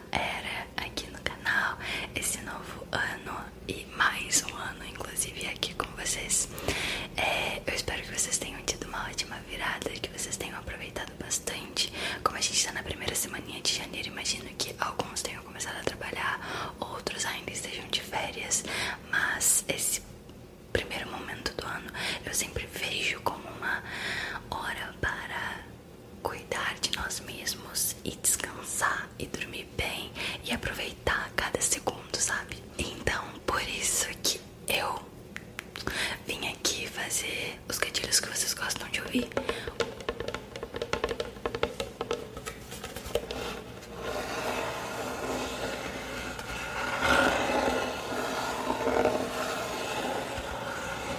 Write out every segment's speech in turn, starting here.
nova era aqui no canal, esse novo ano e mais um ano, inclusive, aqui com vocês. É, eu espero que vocês tenham tido uma ótima virada, que vocês tenham aproveitado bastante. Como a gente está na primeira semana de janeiro, imagino que alguns tenham começado a trabalhar, outros ainda estejam de férias, mas esse primeiro momento do ano eu sempre vejo como uma hora para cuidar de nós mesmos e descansar e dormir bem e aproveitar cada segundo, sabe? Então, por isso que eu vim aqui fazer os gatilhos que vocês gostam de ouvir.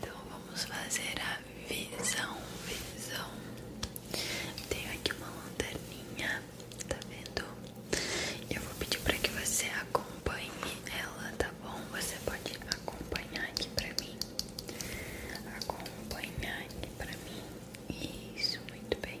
Então vamos fazer a visão, visão. Tenho aqui uma lanterninha, tá vendo? Eu vou pedir para que você acompanhe ela, tá bom? Você pode acompanhar aqui para mim. Acompanhar aqui para mim. Isso, muito bem.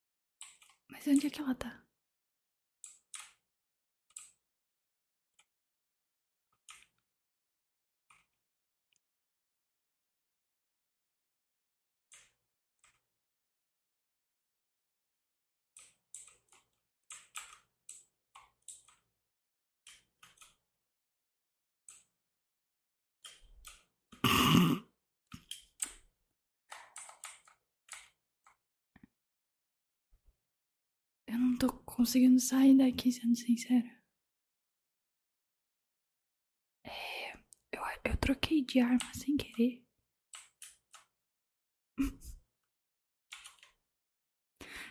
Mas onde é que ela tá? Eu não tô conseguindo sair daqui, sendo sincera. É, eu, troquei de arma sem querer.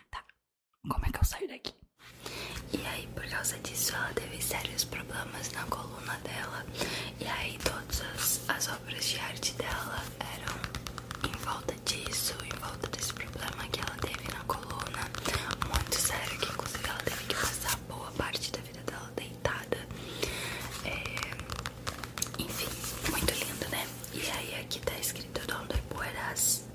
Tá, como é que eu saio daqui? E aí, por causa disso, ela teve sérios problemas na coluna dela. E aí todas as, obras de arte dela eram em volta disso, em volta desse problema que ela teve na coluna, muito sério, que inclusive ela teve que passar boa parte da vida dela deitada. É, enfim, muito lindo, né? E aí aqui tá escrito Donde puedas,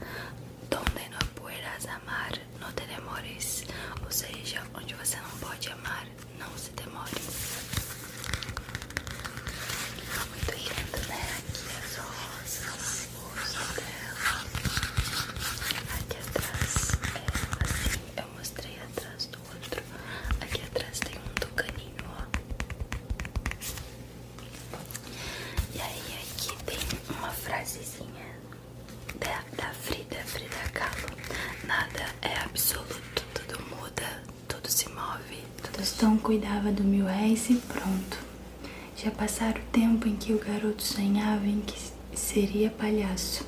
donde no puedas amar, não te demores, ou seja, onde você não pode amar, não se demore. Tá muito lindo, né? Aqui as é rosas, o rosto dela. Aqui atrás, é assim, eu mostrei atrás do outro. Aqui atrás tem um tucaninho, ó. E aí aqui tem uma frasezinha da Frida, Frida Kahlo. Nada é absoluto, tudo muda tudo se move. Tudo Tostão cuidava do mil réis e pronto. Já passara o tempo em que o garoto sonhava em que seria palhaço.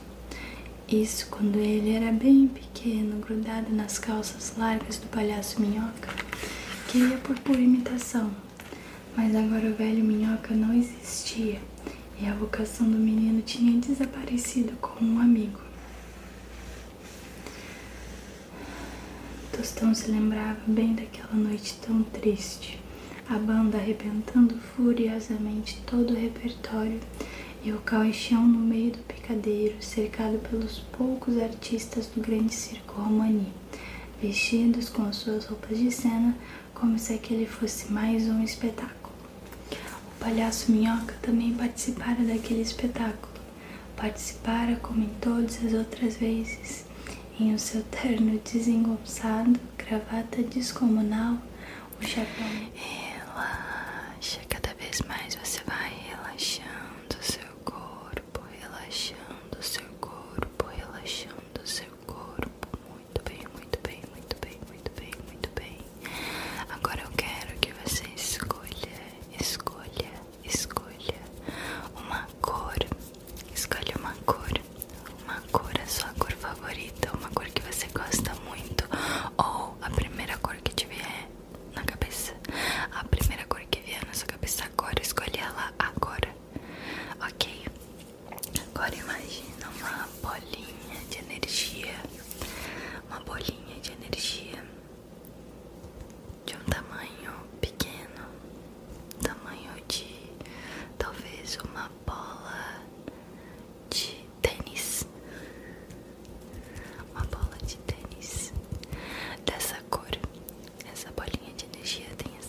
Isso quando ele era bem pequeno, grudado nas calças largas do palhaço Minhoca, que por pura imitação. Mas agora o velho Minhoca não existia e a vocação do menino tinha desaparecido como um amigo. Tostão se lembrava bem daquela noite tão triste, a banda arrebentando furiosamente todo o repertório e o caixão no meio do picadeiro, cercado pelos poucos artistas do grande circo romani, vestidos com suas roupas de cena como se aquele fosse mais um espetáculo. O palhaço Minhoca também participara daquele espetáculo. Participara como em todas as outras vezes, em o seu terno desengonçado, gravata descomunal, o chapéu. Relaxa, cada vez mais você vai relaxando o seu corpo, relaxando o seu corpo, relaxando o seu corpo. Muito bem, muito bem, muito bem, muito bem, muito bem. Agora eu quero que você escolha, escolha, escolha uma cor. Escolha uma cor, uma cor, a sua cor favorita, uma cor que você gosta muito, ou a primeira cor que te vier na cabeça. A primeira cor que vier na sua cabeça agora, escolha ela agora. Ok? Agora imagina uma bolinha de energia, uma bolinha de energia de um tamanho pequeno, tamanho de talvez uma bola de tênis, uma bola de tênis dessa cor. Essa bolinha de energia tem essa.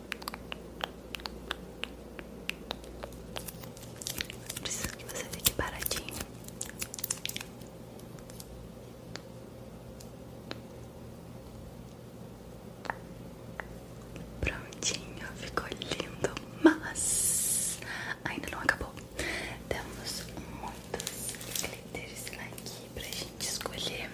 Preciso que você fique paradinho. Prontinho, ficou lindo, mas ainda não acabou. Temos muitos glitters aqui pra gente escolher.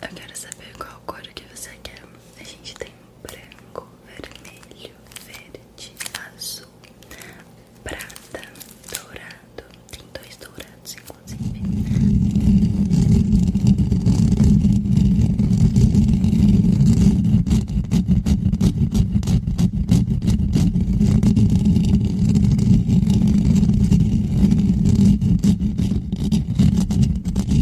Eu quero saber qual cor que você quer. A gente tem branco, vermelho, verde, azul, prata, dourado. Tem dois dourados, inclusive.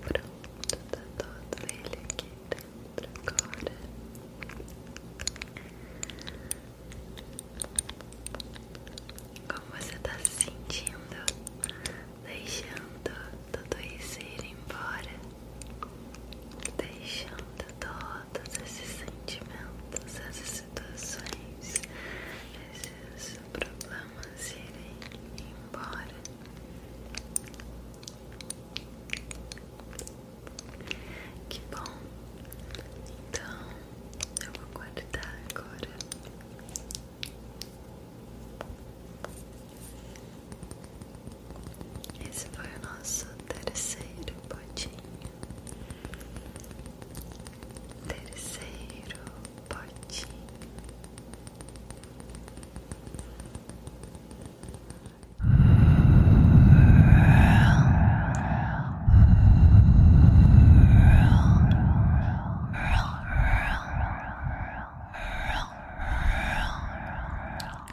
Pronto, tá todo ele aqui dentro agora. Como você tá se sentindo? Deixando todo isso ir embora deixando todos esses sentimentos, essas situações, esses problemas irem embora. Que bom! Então eu vou guardar agora. Esse foi o nosso terceiro potinho. Terceiro potinho.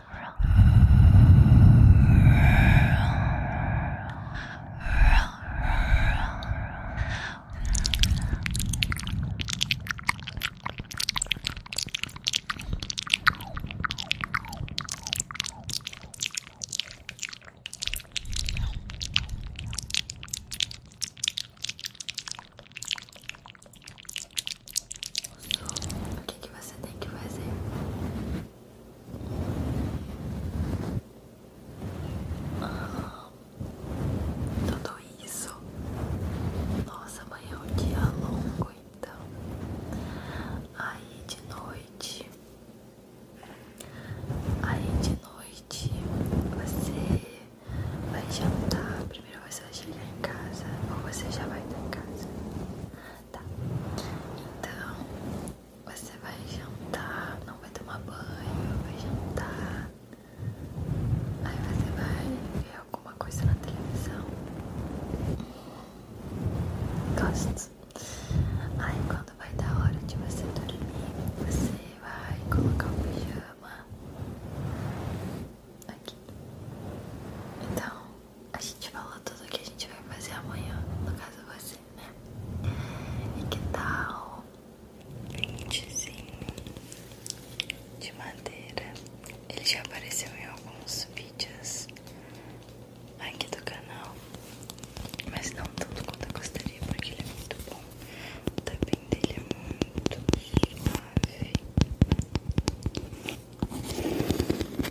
O que, que você tem que fazer? Tudo isso. Nossa, amanhã é um dia longo, então. Aí de noite. Aí de noite você vai jantar. Primeiro você vai chegar em casa. Ou você já vai estar em casa. Tá. Então, você vai jantar, não vai tomar banho, vai jantar. Aí você vai ver alguma coisa na televisão. Gosto. Aí quando vai dar hora de você dormir, você vai colocar o pijama aqui. Então, a gente falou tudo que a gente vai fazer amanhã, no caso você, né? E que tal um kitzinho de madeira? Ele já apareceu em alguns vídeos aqui do canal, mas não tanto quanto eu gostaria, porque ele é muito bom. O tapim dele é muito suave.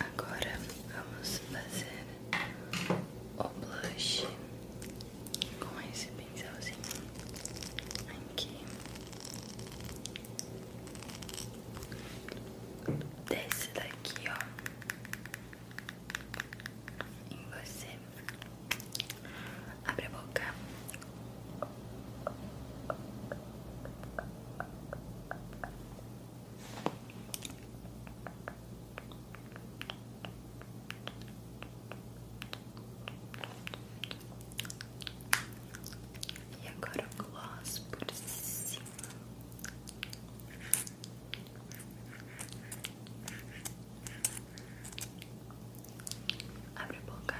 Agora vamos fazer o blush com esse pincelzinho aqui. Desse daqui, ó em você. Abre a boca. E agora o gloss por cima. Abre a boca.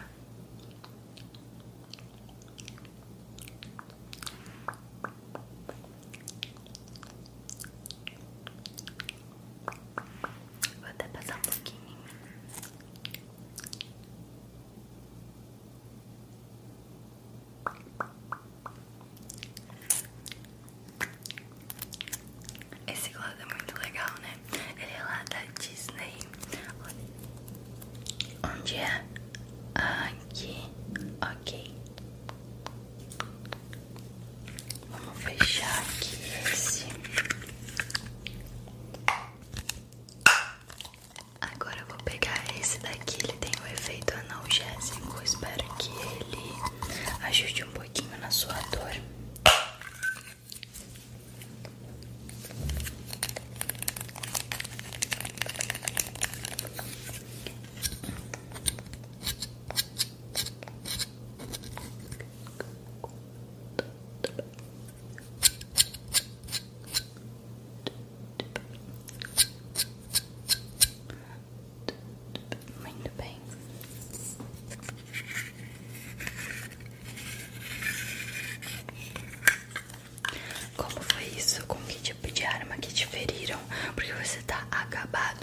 Vou até passar um pouquinho. Esse glass é muito legal, né? Ele é lá da Disney. Onde é? Aqui. Ok. Vamos fechar aqui esse. Agora eu vou pegar esse daqui. Ele tem o um efeito analgésico. Espero que ele ajude um pouco pouquinho na sua dor. Muito bem. Como foi isso? Com que tipo de arma que te feriram? Porque você tá acabado.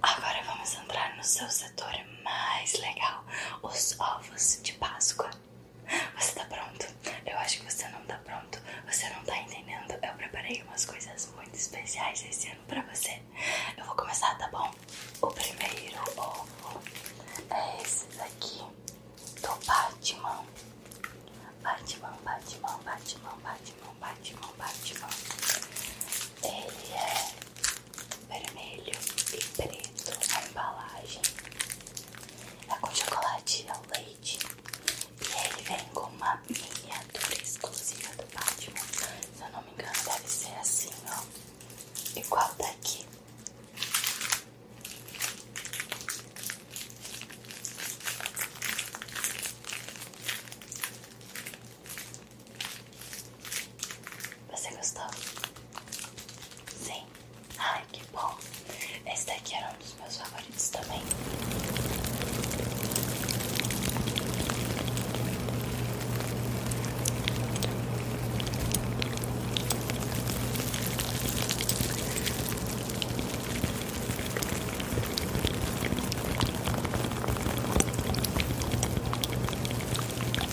Agora vamos entrar no seu setor mais legal, os ovos de Páscoa. Você tá pronto? Eu acho que você não tá pronto. Você não tá entendendo. Eu preparei umas coisas muito especiais esse ano pra você. Eu vou começar, tá bom? O primeiro ovo é esse daqui do Batman. Batman, Batman, Batman, Batman, Batman, Batman. Ele é vermelho e preto a embalagem é com chocolate ao leite. E ele vem com uma miniatura exclusiva do Batman. Se eu não me engano, deve ser assim, ó. Igual daqui. Você gostou? Sim. Ai, que bom. Esse daqui era um dos meus favoritos também.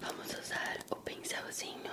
Vamos usar o pincelzinho.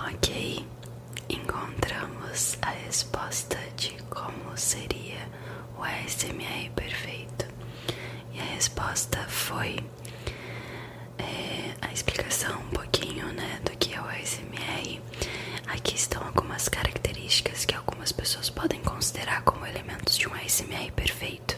Ok, encontramos a resposta de como seria o ASMR perfeito? E a resposta foi é, a explicação um pouquinho né, do que é o ASMR. Aqui estão algumas características que algumas pessoas podem considerar como elementos de um ASMR perfeito.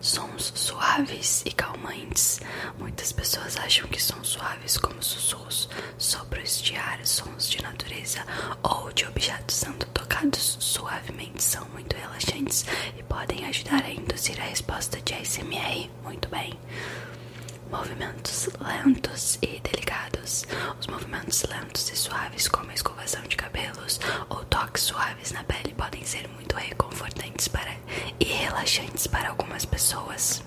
Sons suaves e calmantes. Muitas pessoas acham que são suaves, como sussurros, Sopros diários, sons de natureza ou de objetos sendo tocados suavemente são muito relaxantes e podem ajudar a induzir a resposta de ASMR muito bem. Movimentos lentos e delicados. Os movimentos lentos e suaves, como a escovação de cabelos ou toques suaves na pele, podem ser muito reconfortantes para e relaxantes para algumas pessoas.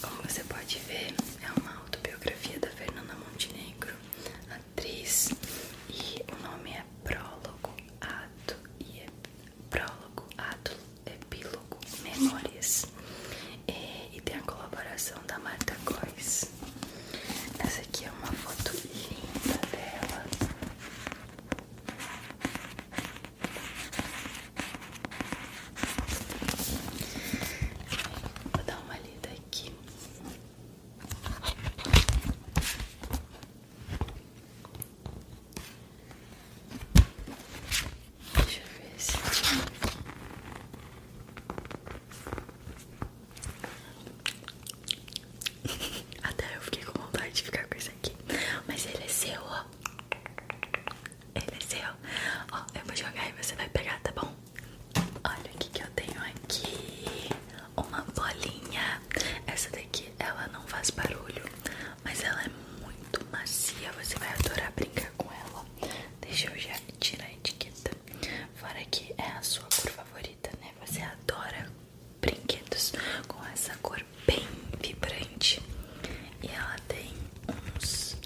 Como você pode ver, é uma autobiografia da Fernanda Montenegro, atriz, e o nome é Prólogo, Ato e é Prólogo, Ato, Epílogo, Memórias. É, e, tem a colaboração da Marta Góes. Essa aqui é uma foto linda dela. Vou dar uma lida aqui. Deixa eu ver se Até eu fiquei com vontade de ficar com isso aqui. Mas ele é seu, ó. Ele é seu. Ó, eu vou jogar e você vai pegar, tá bom? Olha o que, que eu tenho aqui. Uma bolinha. Essa daqui, ela não faz barulho, mas ela é muito macia. Você vai adorar brincar com ela. Deixa eu já tirar a etiqueta. Fora que é a sua cor favorita, né? Você adora brinquedos com essa cor bem vibrante. E ela tem uns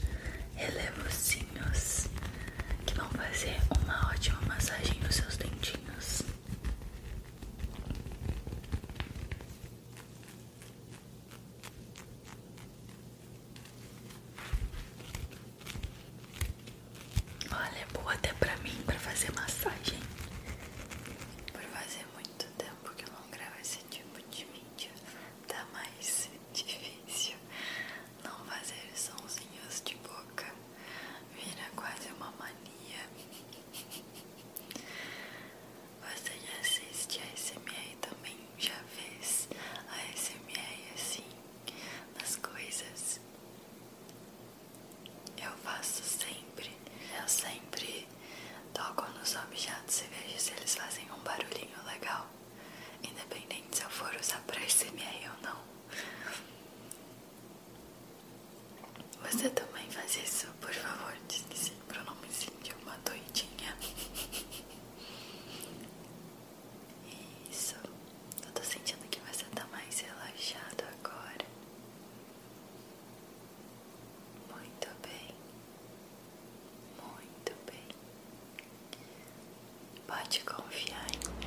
relevozinhos que vão fazer uma ótima massagem nos seus dentinhos. Olha, é boa até pra mim, pra fazer massagem. Por fazer muito tempo que eu não gravo esse tipo de vídeo, tá mais difícil não fazer sonzinhos de boca. Vira quase uma mania. Você já assiste a SMR também, já fez a SMR assim nas coisas. Eu faço sempre. Eu sempre toco nos objetos e vejo se eles fazem um barulhinho legal. Independente se eu for usar pra SMR ou não. Você também faz isso, por favor, diz que sim, pra eu não me sentir uma doidinha. Isso. Eu tô sentindo que você tá mais relaxado agora. Muito bem. Muito bem. Pode confiar em mim.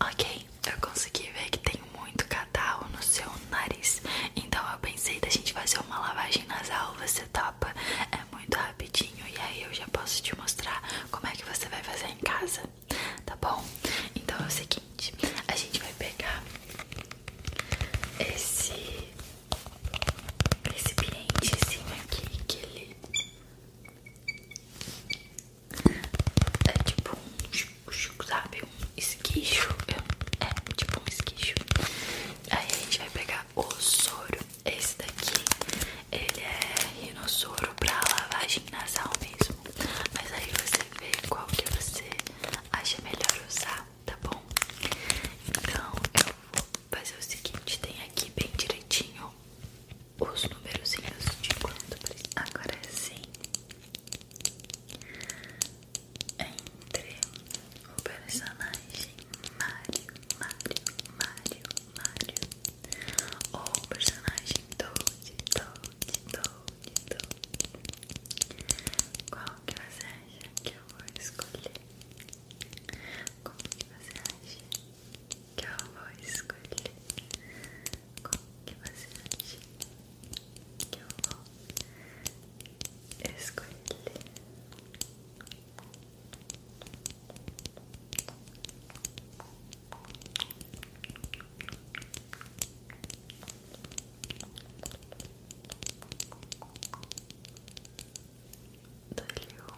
Ok, eu consegui ver que tem muito catarro no seu nariz, então eu pensei da gente fazer uma lavagem nasal, você topa? É muito rapidinho e aí eu já posso te mostrar como é que você vai fazer em casa tá bom? Então é o seguinte, a gente vai pegar esse recipientezinho aqui, que ele é tipo um, sabe, um esquicho, é, é tipo um esquicho. Aí a gente vai pegar o soro, esse daqui, ele é rinossoro pra lavagem nasal mesmo. Mas aí você vê qual que você acha melhor usar, tá bom? Então eu vou fazer o seguinte: tem aqui bem direitinho os numerozinhos de quanto Agora é sim, entre o personagem Mario, Mario, Mario, Mario. ou personagem Toad, Toad, Toad, Toad. Qual que você acha que eu vou escolher? Qual que você acha que eu vou escolher? Qual que você dou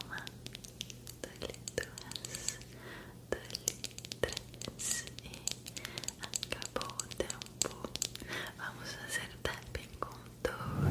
uma, dou duas, dou três e acabou o tempo. Vamos fazer tapping com dor.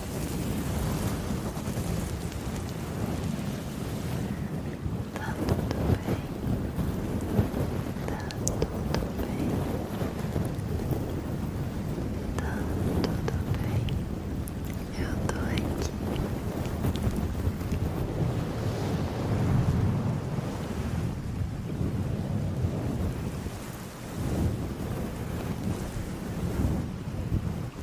Tá tudo bem, tá tudo bem, tá tudo bem, eu tô aqui. Tá tudo bem,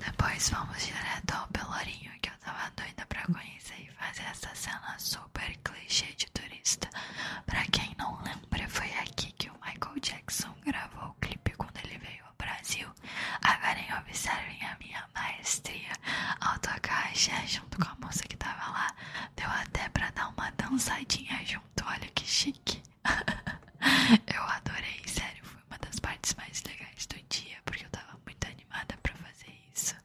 Depois vamos direto ao Pelourinho que eu tava doida pra conhecer e fazer essa cena super clichê de turista. Pra quem não lembra lembra, foi aqui que o Michael Jackson gravou o clipe quando ele veio ao Brasil. Agora observem a minha maestria ao tocar junto com a moça que tava lá. Deu até pra dar uma dançadinha junto, olha que chique. eu adorei, sério, foi uma das partes mais legais do dia, porque eu tava muito animada pra fazer isso.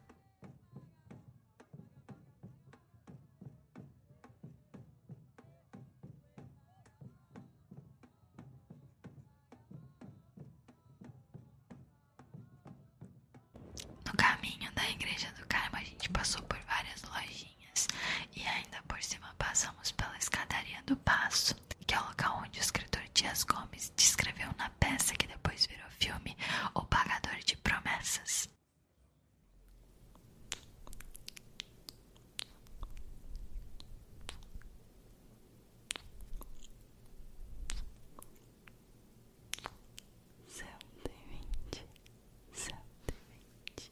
No caminho da igreja do Carmo, a gente passou por várias lojinhas e ainda por cima passamos pela escadaria do Passo, que é o local onde o escritor Dias Gomes descreveu na peça que depois virou filme O Pagador de Promessas. Céu demente, céu demente. Céu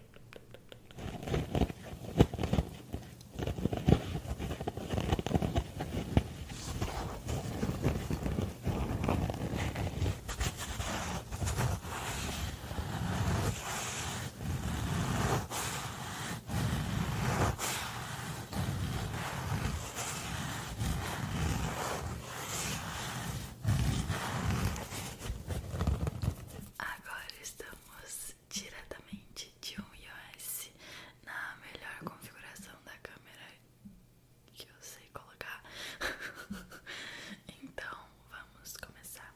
Agora estamos diretamente de um iOS na melhor configuração da câmera que eu sei colocar. então vamos começar.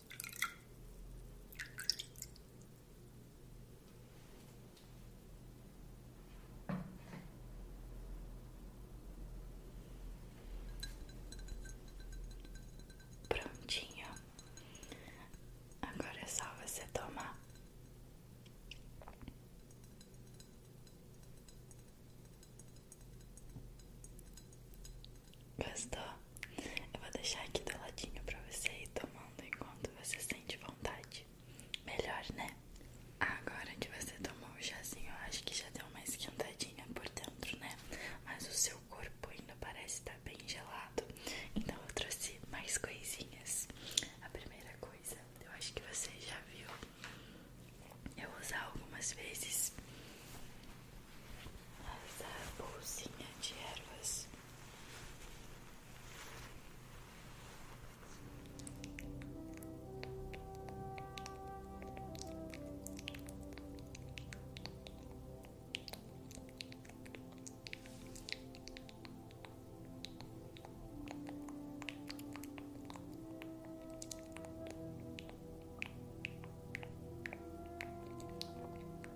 Prontinho, agora é só você tomar. Gostou? Eu vou deixar aqui do ladinho pra você ir tomando enquanto você sente vontade. Melhor, né? Agora que você tomou o chazinho, eu acho que já deu uma esquentadinha por dentro, né? Mas o seu corpo ainda parece estar tá bem gelado. Então eu trouxe mais coisinhas. A primeira coisa, eu acho que você já viu eu usar algumas vezes essa bolsinha de ervas.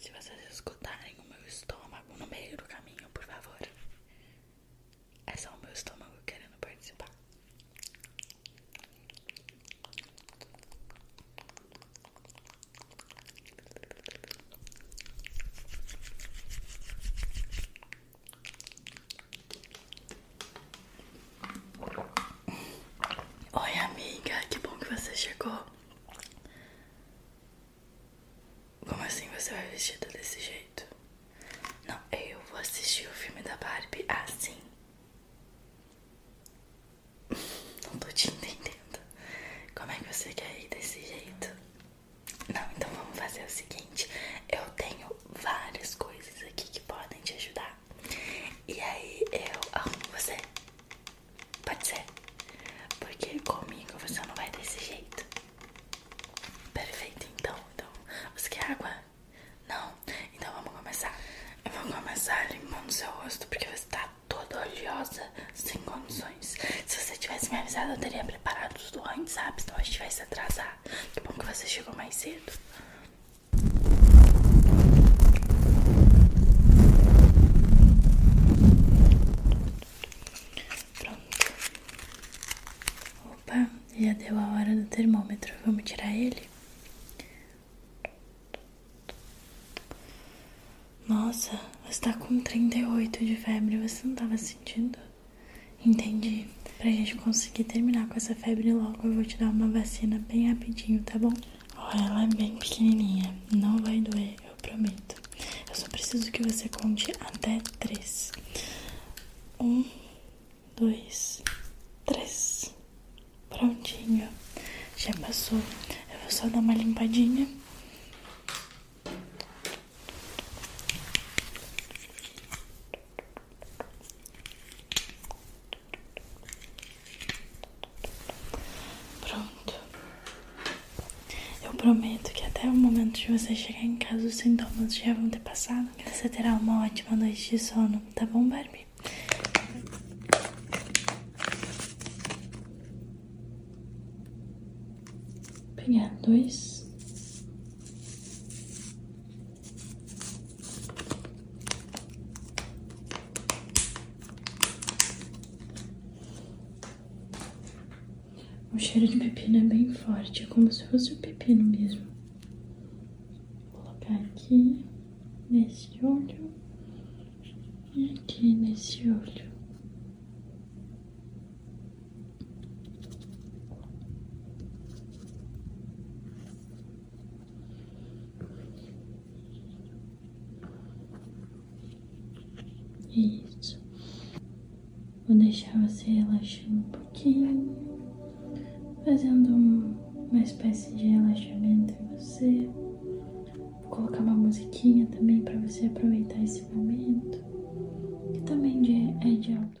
Se vocês escutarem o meu estômago no meio do caminho, por favor, é só o meu estômago querendo participar. Oi, amiga, que bom que você chegou. Como assim você vai vestida desse jeito? Não, eu vou assistir o filme da Barbie assim. Não tô te entendendo. Como é que você quer ir desse jeito? Não, então vamos fazer o seguinte: eu tenho várias coisas aqui que podem te ajudar. E aí eu arrumo você. Pode ser? Porque comigo você não vai desse jeito. Perfeito, então. então você quer água? Não? Então vamos começar. Eu vou começar limpando seu rosto porque você tá toda oleosa, sem condições se você tivesse me avisado, eu teria preparado tudo antes, sabe? Então a gente vai se atrasar. Que bom que você chegou mais cedo. Pronto. Opa, já deu a hora do termômetro. Vamos tirar ele? Nossa, você tá com 38 de febre, você não tava sentindo? Entendi. Pra gente conseguir terminar com essa febre logo, eu vou te dar uma vacina bem rapidinho, tá bom? Ó, ela é bem pequenininha, não vai doer, eu prometo. Eu só preciso que você conte até três. Um, dois, três. Prontinho. Já passou. Eu vou só dar uma limpadinha. Pronto. Eu prometo que até o momento de você chegar em casa os sintomas já vão ter passado. E você terá uma ótima noite de sono, tá bom, Barbie? pegar dois. O cheiro de pepino é bem forte, é como se fosse o pepino mesmo. Vou colocar aqui nesse olho e aqui nesse olho. Isso. Vou deixar você relaxando um pouquinho, fazendo uma espécie de relaxamento em você. Vou colocar uma musiquinha também para você aproveitar esse momento alta, que também de, é de alto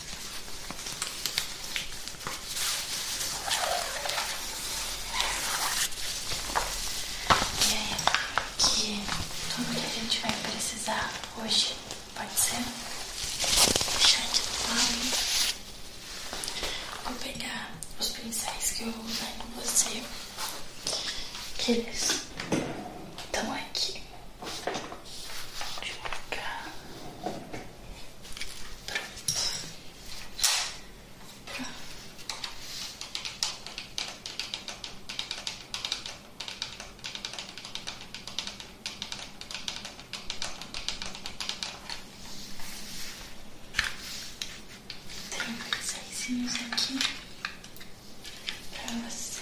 E aí, que tudo que a gente vai precisar hoje pode ser deixar de lado. Vou pegar os pincéis que eu vou usar com você. Que eles estão aqui e pra cá. Pronto. Pronto. Tem uns aqui para você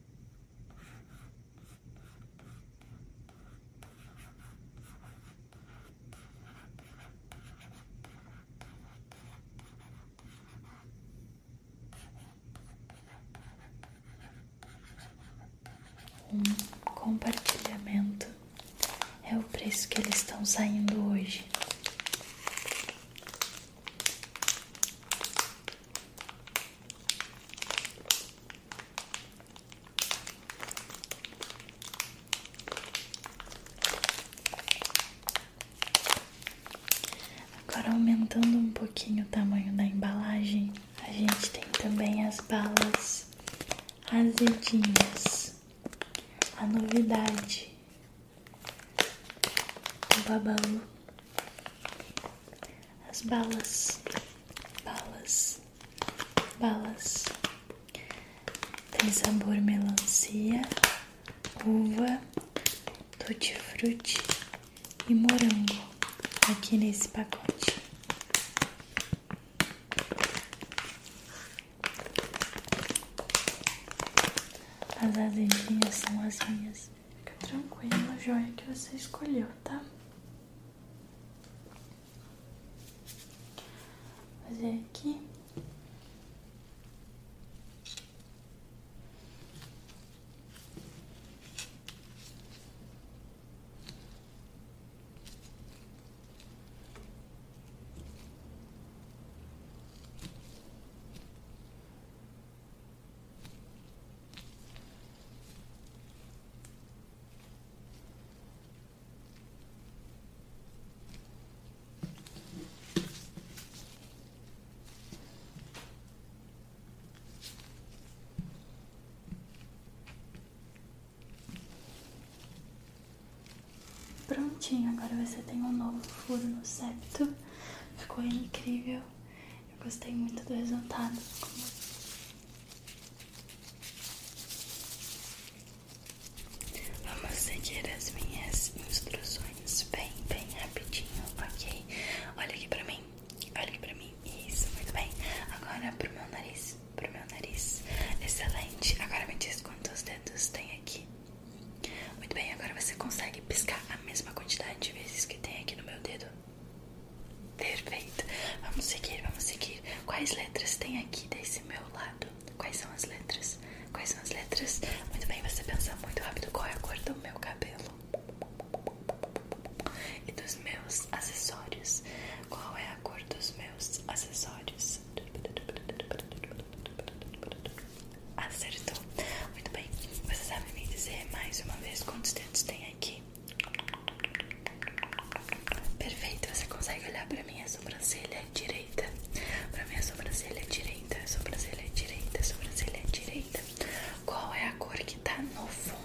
Um compartilhamento é o preço que eles estão saindo hoje. Agora aumentando um pouquinho o tamanho da embalagem, a gente tem também as balas azedinhas. A novidade do babalu as balas, balas, balas. Tem sabor melancia, uva, tutti-frutti e morango aqui nesse pacote. As azedinhas são as minhas Fica tranquilo, a joia que você escolheu, tá? Fazer aqui. Prontinho, agora você tem um novo furo no septo. Ficou incrível. Eu gostei muito do resultado. Vamos seguir as minhas instruções bem, bem rapidinho, ok? Olha aqui pra mim, olha aqui pra mim. Isso, muito bem. Agora pro meu nariz, pro meu nariz. Excelente. Agora me diz quantos dedos tem aqui. Muito bem, agora você consegue piscar a mesma quantidade de vezes que tem aqui no meu dedo. Perfeito. Vamos seguir, vamos seguir. Quais letras tem aqui desse meu lado? Quais são as letras? Quais são as letras? Muito bem, você pensa muito rápido qual é a cor do meu cabelo e dos meus acessórios. Qual é a cor dos meus acessórios? Acertou. Muito bem. Você sabe me dizer mais uma vez quantos dedos tem aqui. Perfeito, você consegue olhar para mim a sobrancelha direita? Para mim a sobrancelha direita, sobrancelha direita, sobrancelha direita. Qual é a cor que tá no fundo?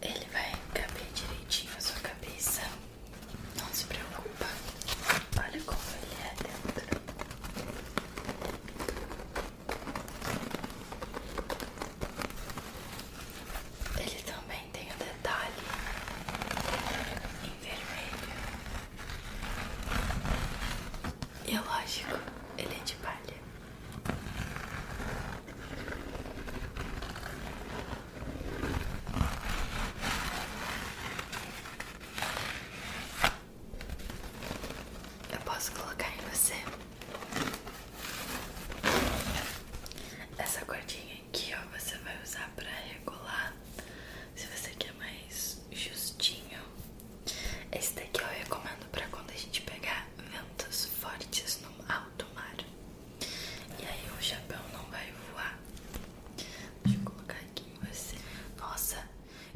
Ele vai caber direitinho na sua cabeça. Não se preocupa. Olha como ele é dentro. Ele também tem o um detalhe em vermelho. E é lógico, ele é de palha. Eu posso colocar em você essa cordinha aqui, ó. Você vai usar para regular se você quer mais justinho. Esse daqui eu recomendo para quando a gente pegar ventos fortes no alto mar. E aí o chapéu não vai voar. Deixa eu colocar aqui em você. Nossa,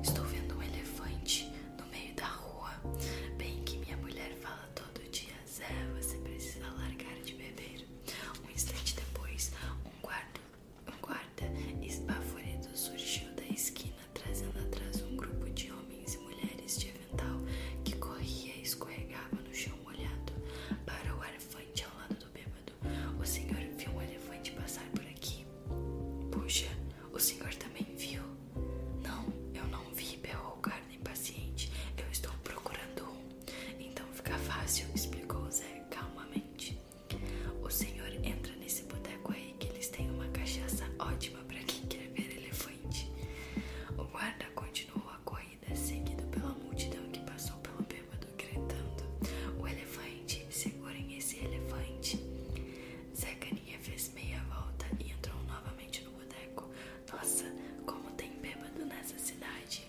estou vendo um elefante no meio da rua. Bem que minha mulher fala todo dia, Zé, você precisa largar de beber. Um instante depois, um guarda, um guarda esbaforido surgiu da esquina, trazendo atrás um grupo de homens e mulheres de que corria e escorregava no chão molhado para o elefante ao lado do bêbado. O senhor viu um elefante passar por aqui? Puxa, o senhor também viu? Não, eu não vi, berrou o cara impaciente. Eu estou procurando um. Então fica fácil, explicou o Zé calmamente. O senhor entra nesse boteco aí que eles têm uma cachaça ótima para quem quer ver elefante. O guarda continuou corrida, seguido pela multidão que passou pelo bêbado, gritando: O elefante! Segurem esse elefante! Zé Caninha fez meia volta e entrou novamente no boteco. Nossa, como tem bêbado nessa cidade!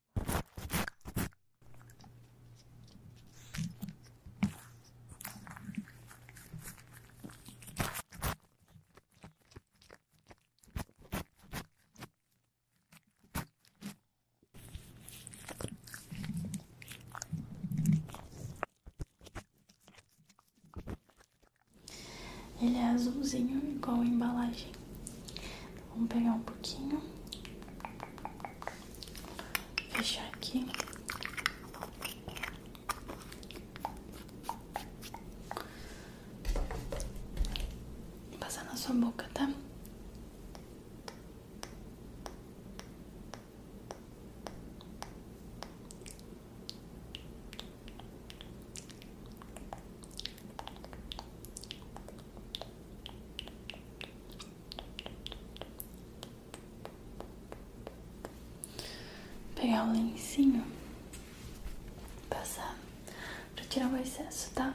Ele é azulzinho, igual embalagem. Vamos pegar um pouquinho. Fechar aqui. Passar na sua boca, tá? Tá Pegar o lencinho, passar para tirar o excesso, tá?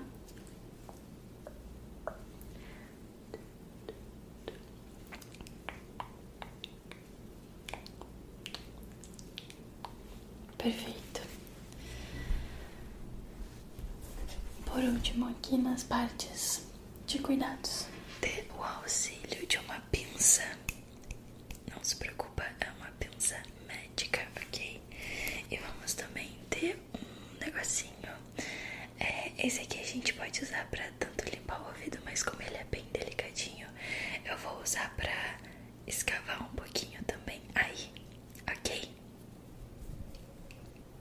Perfeito. Por último, aqui nas partes de cuidados, ter o auxílio de uma pinça. Não se preocupa, é uma pinça médica, ok? E vamos também ter um negocinho. É, esse aqui a gente pode usar pra tanto limpar o ouvido, mas como ele é bem delicadinho, eu vou usar pra escavar um pouquinho também aí, ok?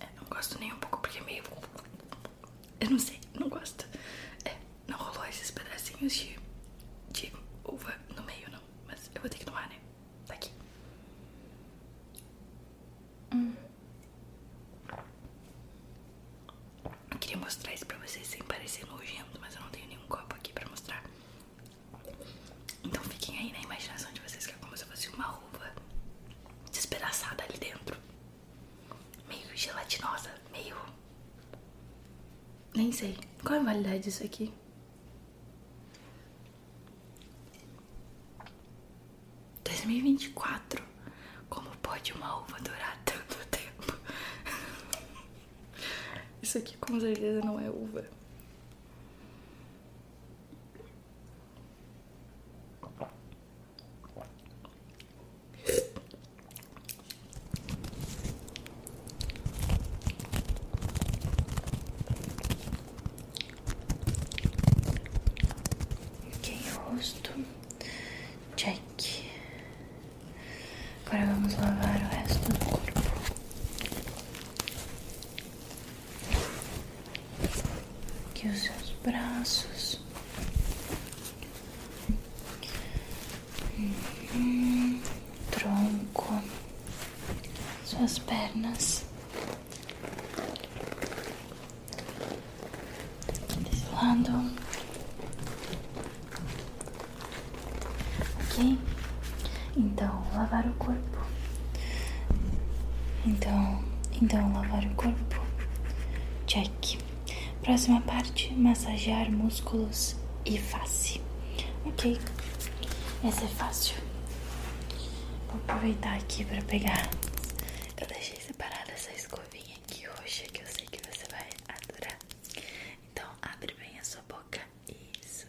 É, não gosto nem um pouco porque é meio. Eu não sei, não gosto. É, não rolou esses pedacinhos de, de uva no meio, não. Mas eu vou ter que tomar, né? Tá aqui. Eu queria mostrar isso pra vocês sem parecer nojento, mas eu não tenho nenhum copo aqui pra mostrar. Então fiquem aí na imaginação de vocês que é como se fosse uma uva despedaçada ali dentro. Meio gelatinosa, meio. Nem sei. Qual é a validade disso aqui? 2024. Como pode uma uva durar tanto tempo? Isso aqui com certeza não é uva. Ok, rosto. cheque. Agora vamos lavar o resto do corpo. Aqui os seus braços. Uhum. Tronco. Suas pernas desse lado, ok? Então, lavar o corpo. Então, então lavar o corpo. Check. Próxima parte, massagear músculos e face. Ok, essa é fácil. Vou aproveitar aqui para pegar. Eu deixei separada essa escovinha aqui roxa que eu sei que você vai adorar. Então abre bem a sua boca. Isso. Isso.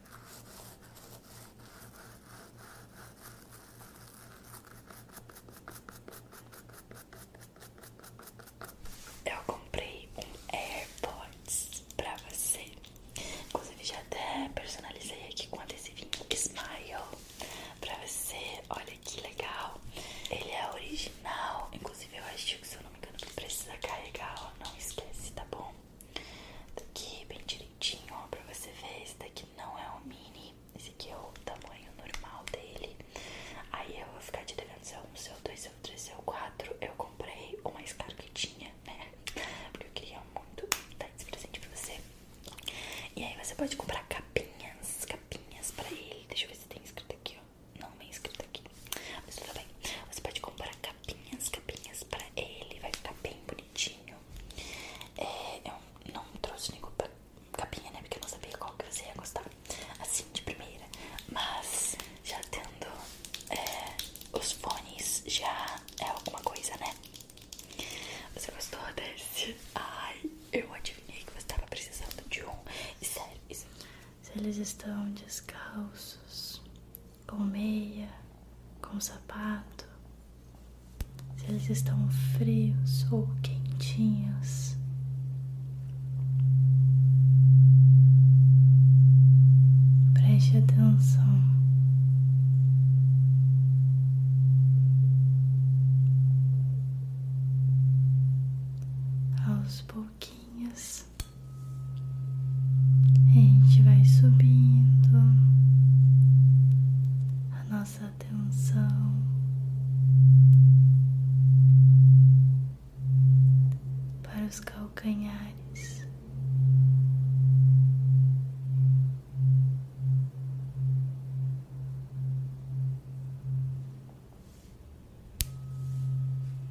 Eu comprei um AirPods pra você. Inclusive, já até personalizei aqui com adesivinho Smile pra você. Olha que legal. Ele é original. Inclusive, eu acho que, se eu não me engano, precisa carregar. Ó. Não esquece, tá bom? Daqui bem direitinho, ó, pra você ver. Esse daqui não é o mini, esse aqui é o tamanho normal dele. Aí eu vou ficar te devendo seu é 1, seu é dois seu 3, seu 4. Eu comprei o mais caro que tinha, né? Porque eu queria muito dar esse presente pra você. E aí você pode comprar capinhas, capinhas pra ele. Deixa eu ver se tem escrito aqui, ó. Não, não é escrito aqui. Mas tudo bem. Você pode comprar capinhas, capinhas pra ele. Vai ficar bem bonitinho. É, eu não trouxe nem capinha, né? Porque eu não sabia qual que você ia gostar. Assim, de primeira. Mas já tendo é, os fones, já é alguma coisa, né? Você gostou desse? Ai, eu adivinhei que você estava precisando de um. E sério, Se eles estão descalços, com meia, com sapato, se eles estão frios ou quentinhos. Preste atenção. Aos pouquinhos a gente vai subindo a nossa atenção para os calcanhares.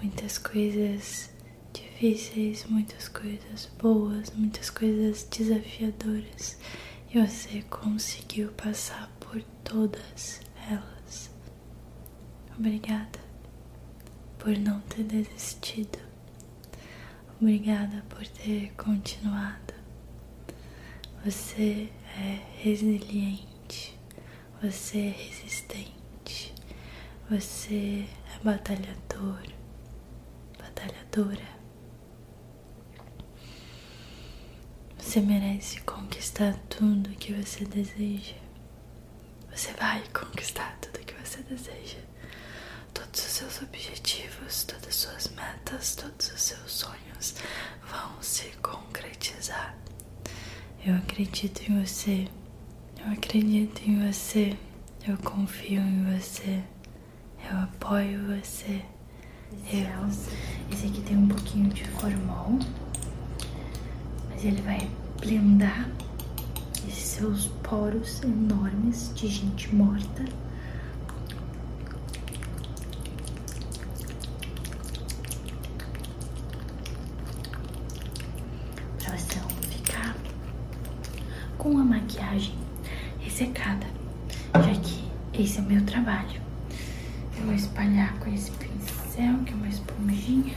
Muitas coisas difíceis, muitas coisas boas, muitas coisas desafiadoras e você conseguiu passar por todas elas. Obrigada por não ter desistido. Obrigada por ter continuado. Você é resiliente, você é resistente, você é batalhador, batalhadora. Você merece conquistar tudo que você deseja. Você vai conquistar tudo que você deseja. Todos os seus objetivos, todas as suas metas, todos os seus sonhos vão se concretizar. Eu acredito em você. Eu acredito em você. Eu confio em você. Eu apoio você. É Eu. Esse aqui tem um pouquinho de formol, mas ele vai blendar esses seus poros enormes de gente morta. para você ficar com a maquiagem ressecada, já que esse é o meu trabalho. Eu vou espalhar com esse pincel, que é uma esponjinha.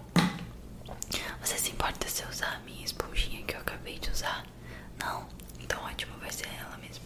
Você se importa se eu usar a minha esponjinha que eu acabei de usar? Não? Então ótimo, vai ser ela mesmo.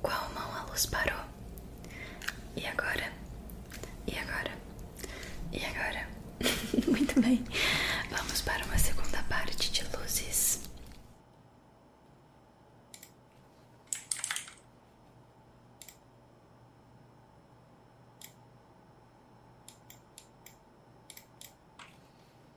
Qual mão a luz parou? E agora? E agora? E agora? Muito bem, vamos para uma segunda parte de luzes.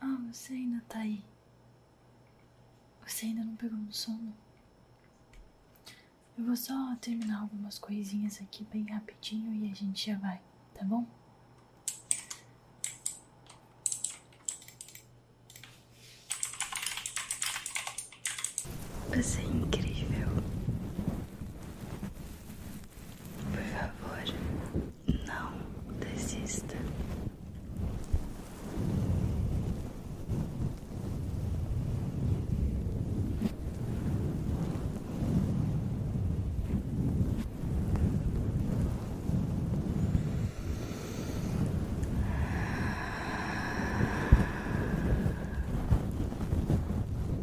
Ah, você ainda tá aí. Você ainda não pegou no sono? Eu vou só terminar algumas coisinhas aqui bem rapidinho e a gente já vai, tá bom? Você é incrível. Por favor, não desista.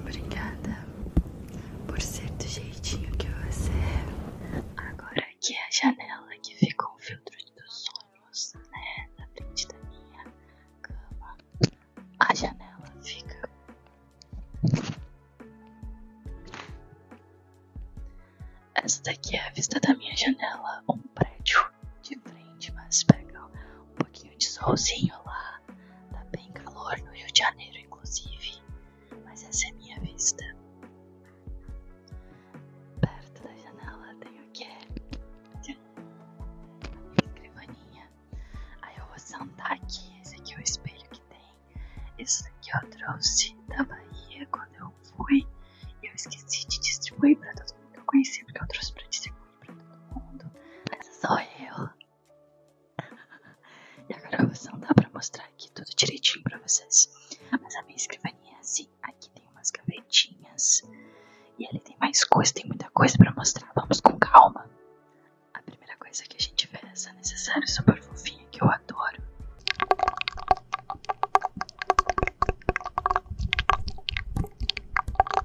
Obrigada por ser do jeitinho que você é. Agora aqui é a janela que fica um filtro dos sonhos, né? Na frente da minha cama. A janela fica. Essa daqui é a vista da minha janela, um prédio de frente, mas pega um pouquinho de solzinho lá. Tá bem calor no Rio de Janeiro, inclusive. Mas essa é a minha vista. Perto da janela tem o quê? A escrivaninha. Aí eu vou sentar aqui. Esse aqui é o espelho que tem. Isso daqui eu trouxe da Bahia quando eu fui. E eu esqueci de distribuir pra todo mundo que eu conheci, porque eu trouxe pra distribuir ruim pra todo mundo. Essa é sou eu. E agora você não dá pra mostrar aqui tudo direitinho pra vocês. Mas a minha escrivaninha é assim. Aqui tem umas gavetinhas. E ali tem mais coisas. tem muita coisa pra mostrar. Vamos com calma. A primeira coisa que a gente vê é essa necessária super fofinha que eu adoro.